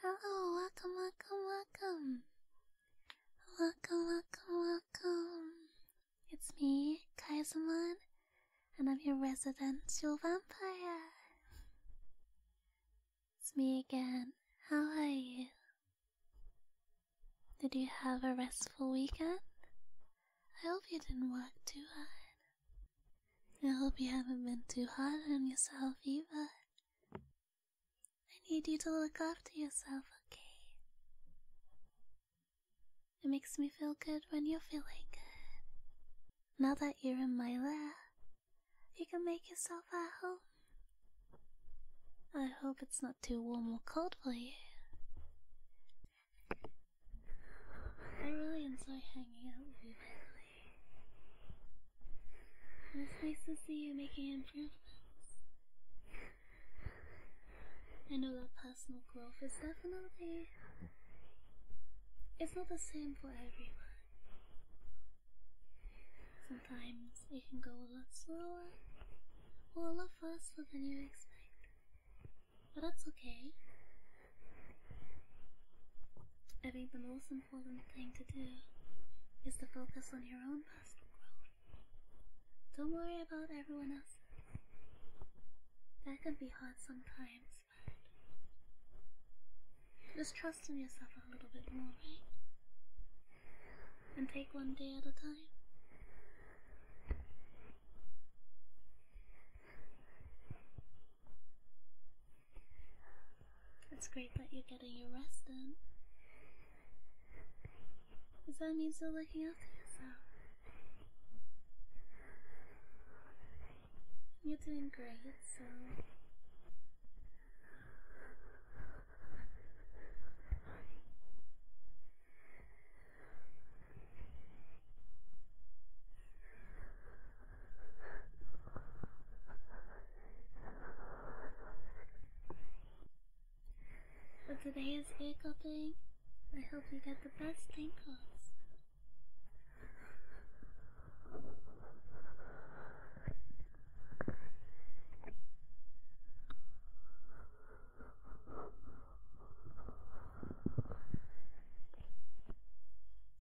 Hello, welcome, welcome, welcome. Welcome, welcome, welcome. It's me, Kaisermon, and I'm your residential vampire. It's me again. How are you? Did you have a restful weekend? I hope you didn't work too hard. I hope you haven't been too hard on yourself Eva. I need you to look after yourself, okay? It makes me feel good when you're feeling good. Now that you're in my lair, you can make yourself at home. I hope it's not too warm or cold for you. I really enjoy hanging out with you, by the it's nice to see you making improvements. I know that personal growth is definitely. It's not the same for everyone. Sometimes it can go a lot slower or a lot faster than you expect. But that's okay. I think the most important important thing to do is to focus on your own personal growth. Don't worry about everyone else. That can be hard sometimes, but just trust in yourself a little bit more, right? And take one day at a time. It's great that you're getting your rest in. Does that mean still looking after yourself? You're doing great, so today is ankle day. I hope you get the best ankles.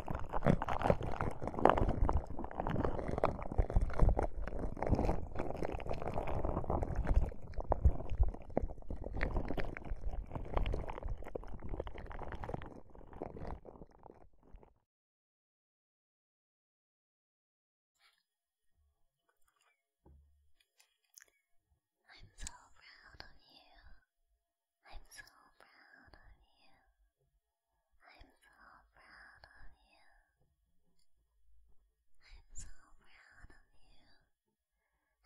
I'm so proud of you. I'm so proud of you. I'm so proud of you.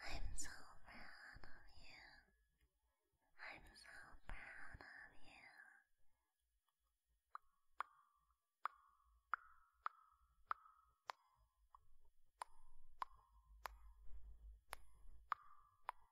I'm so proud of you. I'm so proud of you. I'm so proud of you.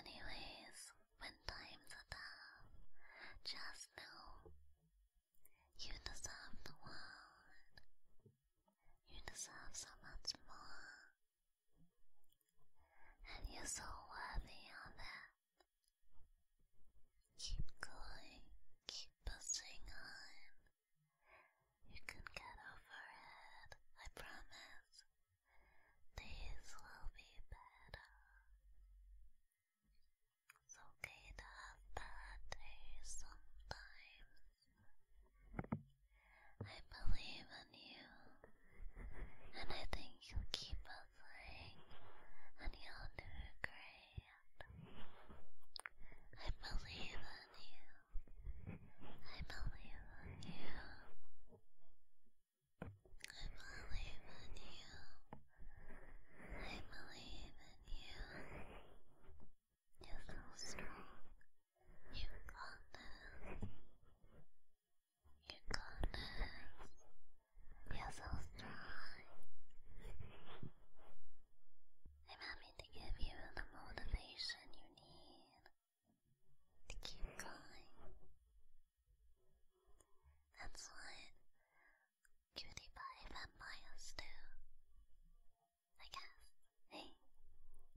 Anyways, when times are tough, just know you deserve the world. You deserve so much more and you're so worthy of that. Keep going, keep pushing on. You can get over it, I promise. These will be better. It's okay to have bad days sometimes. I believe in you, and I think you'll keep on playing, and you'll do great. I believe in you. I believe in you. I believe in you. I believe in you. You're so strong. You got this. You got this. You're so strong. I'm happy to give you the motivation you need to keep going. That's what cutie pie vampires do. I guess. Hey,